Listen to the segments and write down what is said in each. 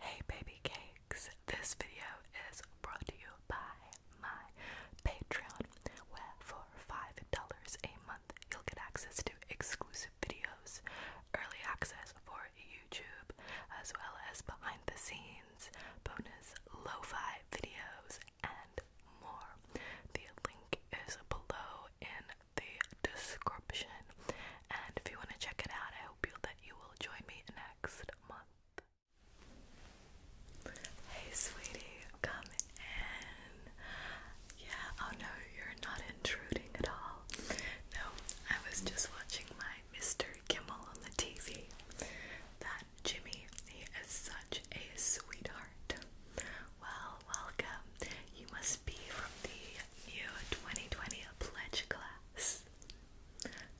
Hey baby cakes, this video is brought to you by my Patreon, where for $5 a month you'll get access to exclusive videos, early access for YouTube, as well as behind the scenes bonus lo-fi videos, and more. The link is below in the description. And if you want to check it out, I hope that you will join me next month. Hey sweetie, come in. Yeah, oh no, you're not intruding at all. No, I was just watching my Mr. Kimmel on the TV. Jimmy. He is such a sweetheart. Well, welcome. You must be from the new 2020 pledge class.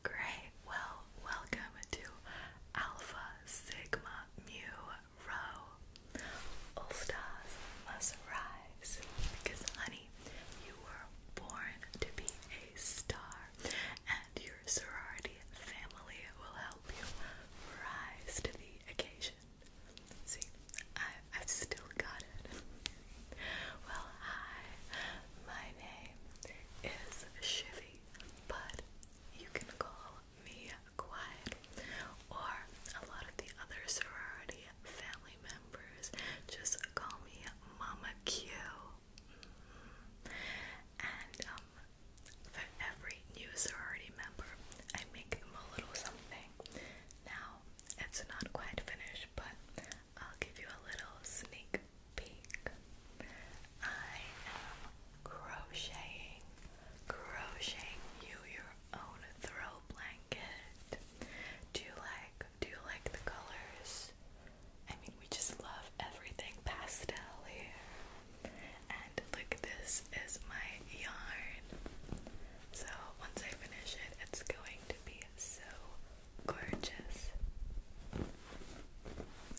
Great. Well, welcome to Alpha Sigma Mu Rho. All stars must rise because, honey, you were born to be a star, and your sorority family will help you rise to the occasion. See, I, I've still got it. well, hi, my name is Shivy, but you can call me Quiet or a lot of the other sorority family members just call me Mama Q. And um, for every new sorority member, I make them a little something. Now, it's not quite finished, but I'll give you a little sneak peek. I am crocheting, crocheting you your own throw blanket. Do you like, do you like the colors? I mean, we just love everything pastel here. And look, this is my yarn. So once I finish it, it's going to be so gorgeous.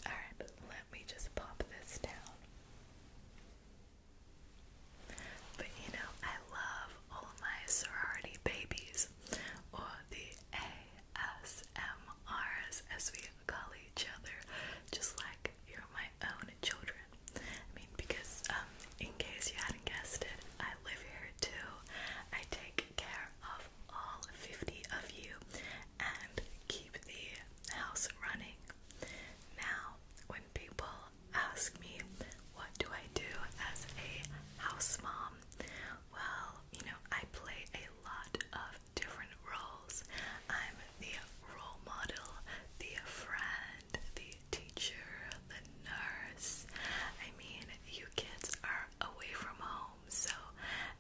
Alright, let me just pop this down. But you know, I love all of my sorority babies or the AS. ASMRs, as we call each other, just like you're my own children. I mean, because um, in case you hadn't guessed it, I live here too. I take care of all 50 of you and keep the house running. Now, when people ask me what do I do as a house mom, well, you know, I play a lot of different roles. I'm the role model, the friend, the teacher, the nurse. I mean, you kids are away from home, so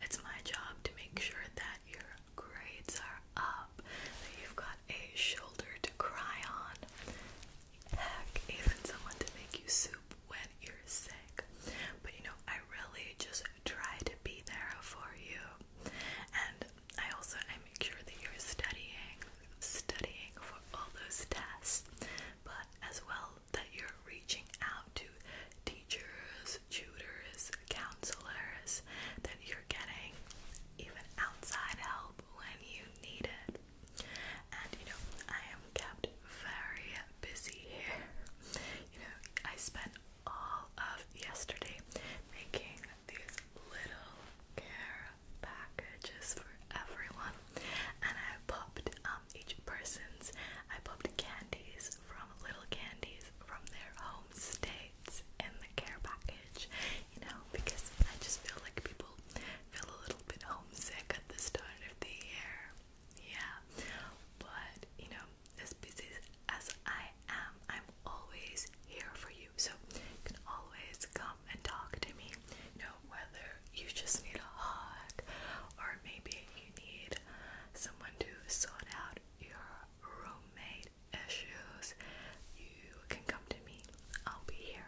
it's my job to make sure that your grades are up, that you've got a shoulder to cry on. Heck, even someone to make you soup when you're sick. But you know, I really just try to be there for you. And I also I make sure that you're studying, studying for all those tests, but as well that you're reaching out to teachers, tutors, counselors, that you're getting even outside help when you need it. And you know, I am kept very busy here. You know, I spent all of yesterday making these little care packages for everyone, and I popped um, each person's. I popped candies from little candies from their home states in the care package. You know, because I just feel like people feel a little bit homesick at the start of the year. Yeah, but you know, as busy as I am, I'm always here for you. So you can always come and talk to me. You know, whether you just need a hug or maybe you need someone to sort out your roommate issues, you can come to me. I'll be here.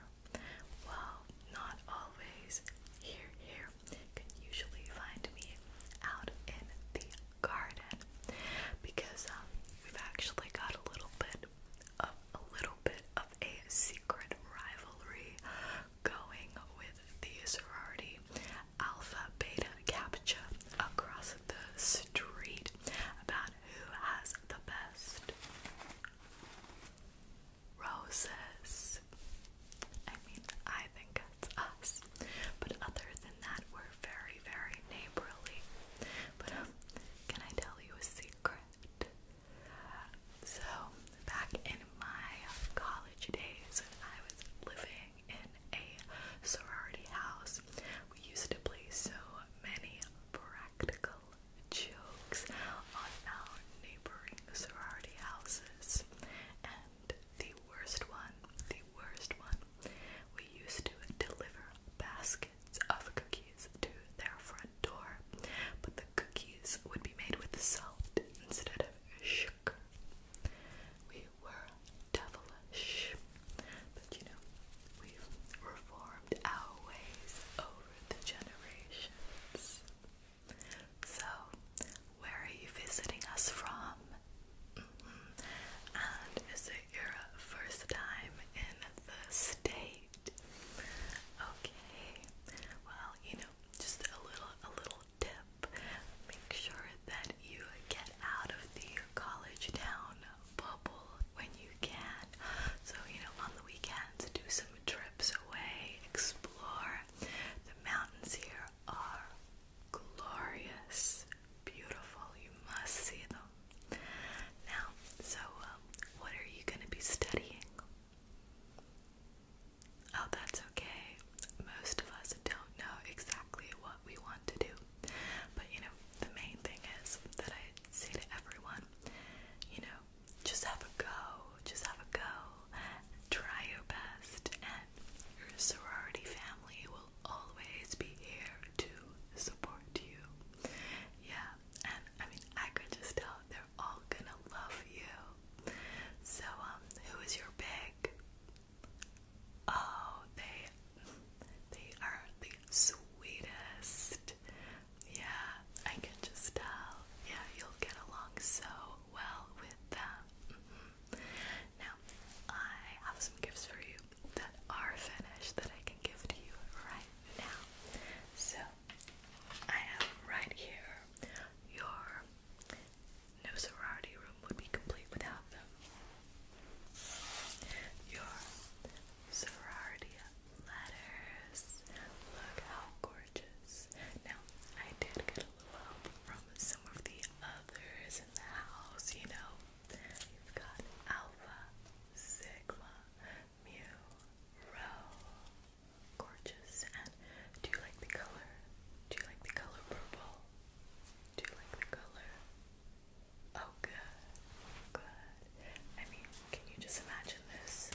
Well, not always here, here, can usually find me out in the garden because um, we've actually got a little bit of a little bit of a secret rivalry going with the sorority Alpha Beta capture across the street about who has the best roses. I mean, I think it's us. But other than that, we're very, very neighborly. But um, can I tell you a secret? So, back in my college days, when I was living in a sorority house, we used to play so many practical jokes on our neighboring sorority houses the worst one, the worst one. We used to deliver baskets of cookies to their front door, but the cookies would be made with salt instead of sugar. We were devilish, but you know, we've reformed our ways over the generations. So, where are you visiting us from? Mm-hmm. And is it your first time in the state? Okay. Well, you know, just a little a little tip. Make sure that you get out of the college town bubble when you can. So, you know, on the weekends do some trips away, explore. The mountains here are glorious, beautiful. You must see them. Now, so um, what are you going to be studying? Oh, that's okay. Most of us don't know exactly what we want to do. But you know, the main thing is that I say to everyone, you know, just have a go, just have a go, try your best, and your sorority family will always be here to support you. Yeah, and I mean, I could just tell they're all gonna love you. So, um, who is your big? Oh, they they are the sweetest. Yeah, I can just tell. Yeah, you'll get along so well with them. Mm-hmm. Now, I have some gifts for you that are finished that I can give to you right now. So, I have right here your no sorority room would be complete without them. Your sorority letters. Look how gorgeous. Now, I did get a little from some of the others in the house, you know. You've got Alpha, Sigma, Mu, Rho. Gorgeous. And do you like the color? Do you like the color purple? Do you like the color? Oh, good. Good. I mean, can you just imagine this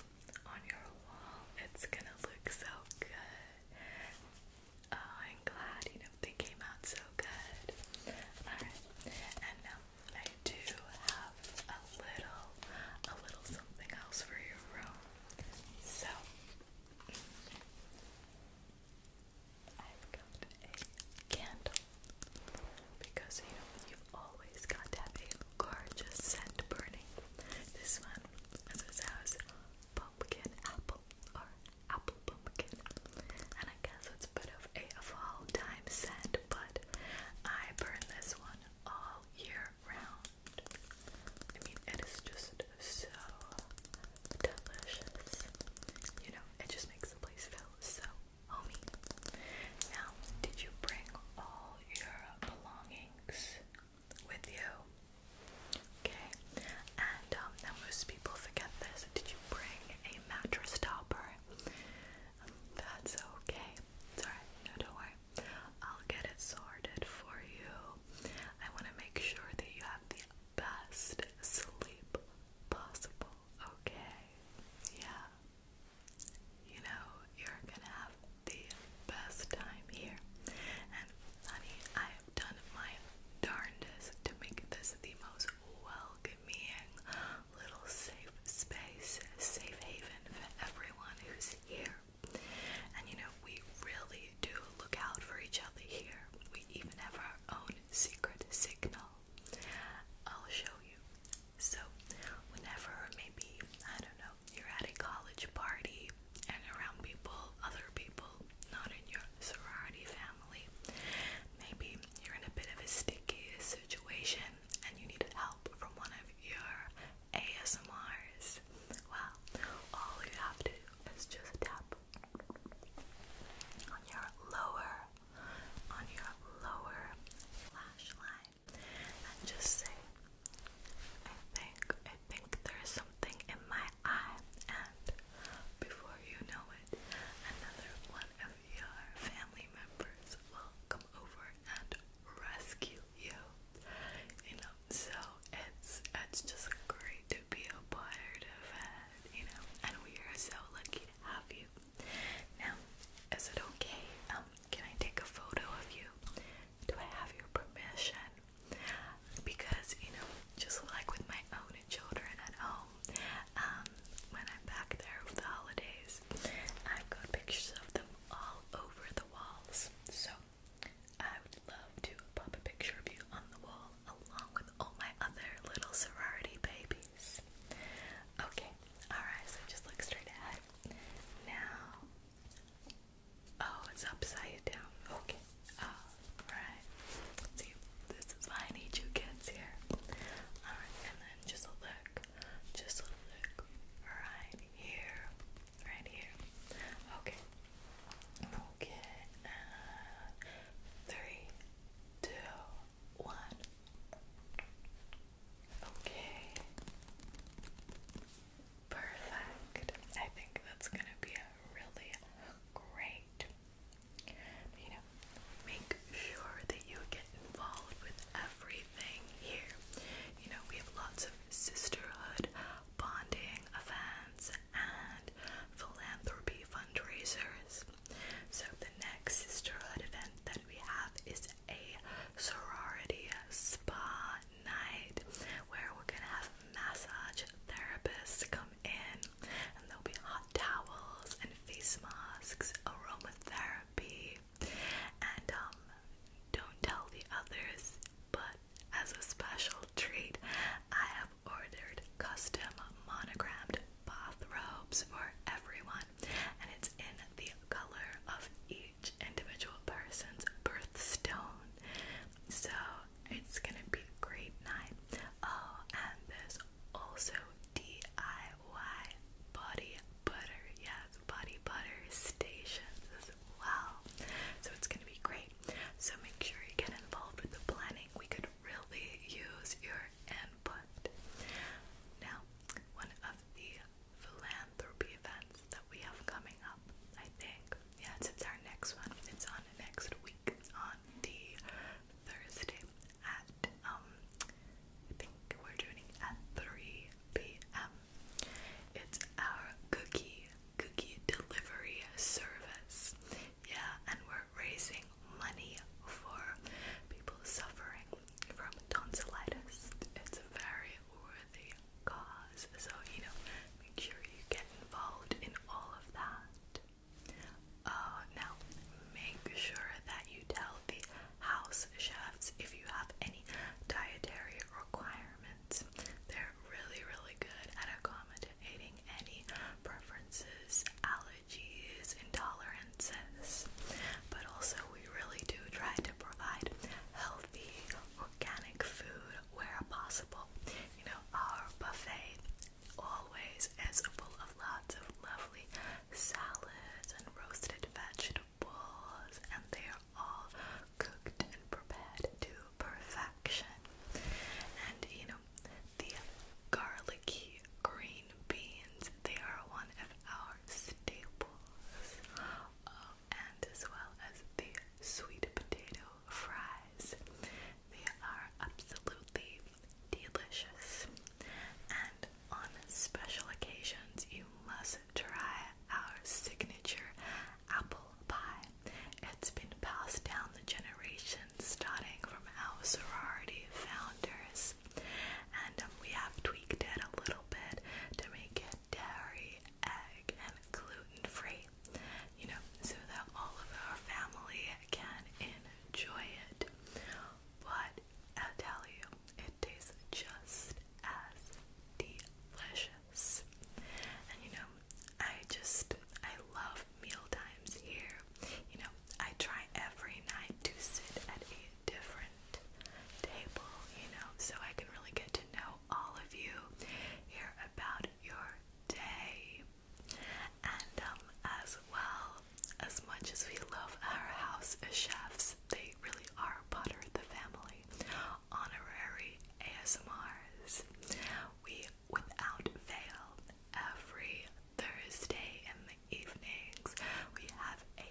on your wall? It's gonna look so good. Oh, I'm glad, you know, they came out so good. Alright, and now I do have a little, a little something else for your room. So, I've got a candle. Because, you you've always got to gorgeous scent burning. This one, this is pumpkin apple or apple pumpkin. And I guess it's a bit of a fall time scent, but I burn this one all year round. I mean, it is just so delicious. You know, it just makes the place feel so homey. Now, did you bring all your belongings? with you. Okay. And um, now most people forget this. Did you bring a mattress topper? That's okay. It's alright. No, don't worry. I'll get it sorted for you. I want to make sure that you have the best sleep possible. Okay. Yeah. You know, you're gonna have the best time here. And honey, I done my darndest to make this the most welcoming little safe space, safe haven for everyone who's here. And you know, we really do look out for each other here. We even have our own secret signal. I'll show you. So, whenever maybe, I don't know, you're at a college party and around people, other people, not in your sorority family. Maybe you're in a bit of a sticky situation and you need help from one of your ASMRs. Well, all you have to do is just tap on your lower, on your lower lash line and just say, I think, I think there's something in my I and before you know it, another one of your family members will come over and rescue you. You know, so it's it's just great to be a part of it, you know, and we are so lucky to have you. Now, is it okay? Um, can I take a photo of you? Do I have your permission because you know, just like with my own children at home, um, when I'm back there for the holidays, I've got pictures of them all over the walls. So I would love to pop a picture of you on the wall along with all my other little sorority babies. Okay, alright, so just look straight ahead. Now, oh, it's upside down. Okay, Alright. See, this is why I need you kids here. Alright, and then just look. Just look right here. Right here. Okay. Okay. Uh, three, two, one. Okay. Perfect. I think that's gonna be a really great you know, make sure that you get involved with everything here. You know, we have lots of sisterhood, bonding events, and philanthropy fundraisers. So, the next sisterhood event that we have is a sorority spa night where we're gonna have massage therapists come in and there'll be hot towels and face masks, aromatherapy, and um, don't tell the others, but as a special treat, I have ordered custom monogrammed bath robes for everyone, and it's in the color of each individual person's birthstone. So it's gonna be a great night. Oh, and there's also DIY body butter, yes, body butter stations as well. So it's gonna be great. So make sure you get involved with the planning. We could really use your input. Now, one of the philanthropy events that we have coming up, I think. Yeah, it's our next one. It's on next week week on the Thursday at um I think we're doing at 3 p.m. It's our cookie cookie delivery service. Yeah, and we're raising money for people suffering from tonsillitis. It's a very worthy cause. So, you know, make sure you get involved in all of that. Oh, now, make sure that you tell the house chefs if you have any dietary requirements. They're really, really good at accommodating any preferences, allergies, intolerances. But also, we really do try to provide healthy, organic food where possible. You know, our buffet always is full of lots of lovely salads and roasted vegetables, and they are all cooked and prepared to perfection. And you know, the garlicky green beans, they are one of our staples. Um, and as well as the sweet potato fries. They are absolutely delicious. And on special occasions, you must try our signature apple pie. It's been passed down the generations, starting from our sorority founders. And um, we have tweaked it a little bit to make it dairy, egg, and gluten free you know, so that all of our family can enjoy it. But I tell you, it tastes just as delicious. And you know, I just I love meal times here. You know, I try every night to sit at a different table, you know, so I can really get to know all of you, hear about your day, and um, as well, as much as we love our house chefs, they really are part of the family. Honorary ASMRs. We, without fail, every Thursday in the evenings, we have a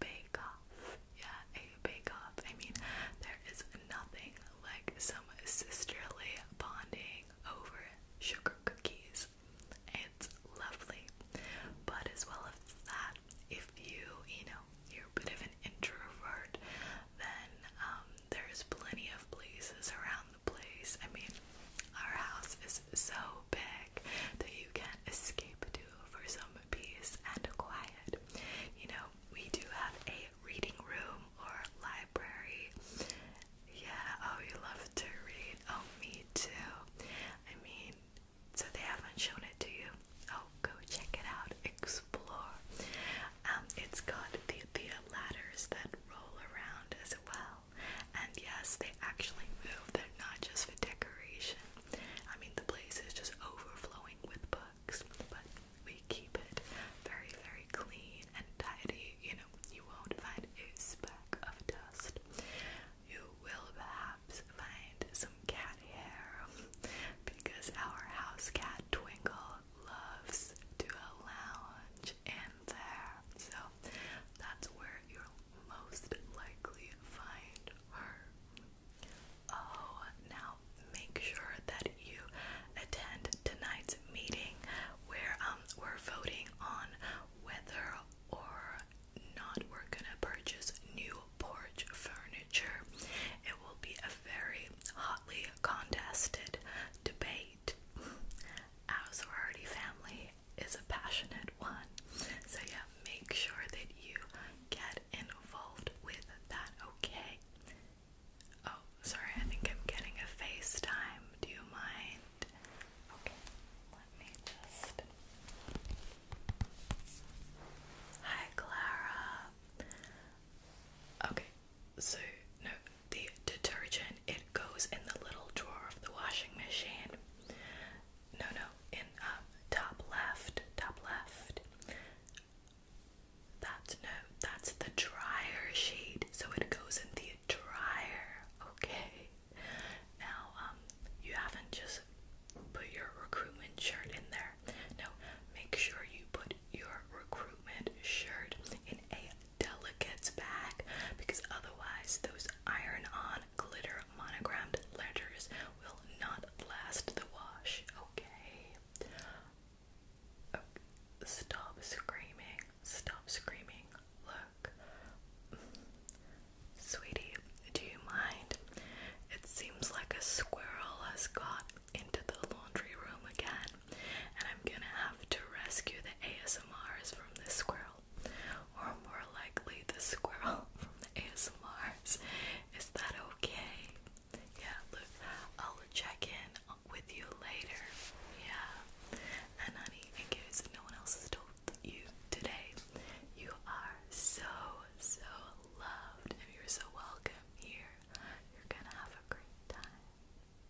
bake off. Yeah, a bake off. I mean, there is nothing like some sisterly bonding over sugar cookies. It's lovely. But as well as that, if you, you know, you're a bit of an introvert, then um, there's plenty of places around the place. I mean, our house is so big that you can not escape to for some peace and quiet. You know, we do have a reading room or library yeah, oh, you love to read. Oh, me too. I mean, so they haven't shown it to you? Oh, go check it out. Explore. Um, it's got the, the ladders that roll around as well. And yes, they actually move. They're not just for decoration. I mean, the place is just overflowing with books. But we keep it very, very clean and tidy. You know, you won't find a speck of dust. You will perhaps find some cat hair because our house cat Twinkle loves to lounge in there. So that's where you'll most likely find her. Oh, now make sure that you attend tonight's meeting where um, we're voting on whether or not we're gonna purchase new porch furniture. It will be a very hotly contested debate. Our sorority family is a passionate one, so yeah, make sure that you get involved with that, okay? Oh, sorry, I think I'm getting a FaceTime. Do you mind? Okay, let me just. Hi, Clara. Okay, so no, the detergent, it goes in the little drawer of the washing machine. No, no, in uh, top left, top left. That's no, that's the dryer shade, so it goes in the dryer, okay? Now, um, you haven't just put your recruitment shirt in there. No, make sure you put your recruitment shirt in a delicates bag because otherwise, those iron on glitter monogrammed letters will not last the wash, okay? Stop screaming. Stop screaming. Look. Sweetie, do you mind? It seems like a squirrel has got into the laundry room again, and I'm gonna have to rescue the ASMRs from this squirrel. Or more likely, the squirrel from the ASMRs. Is that okay? Yeah, look, I'll check in with you later. Yeah. And honey, in no one else has told you today, you are so, so loved and you're so welcome here. You're gonna have a great time.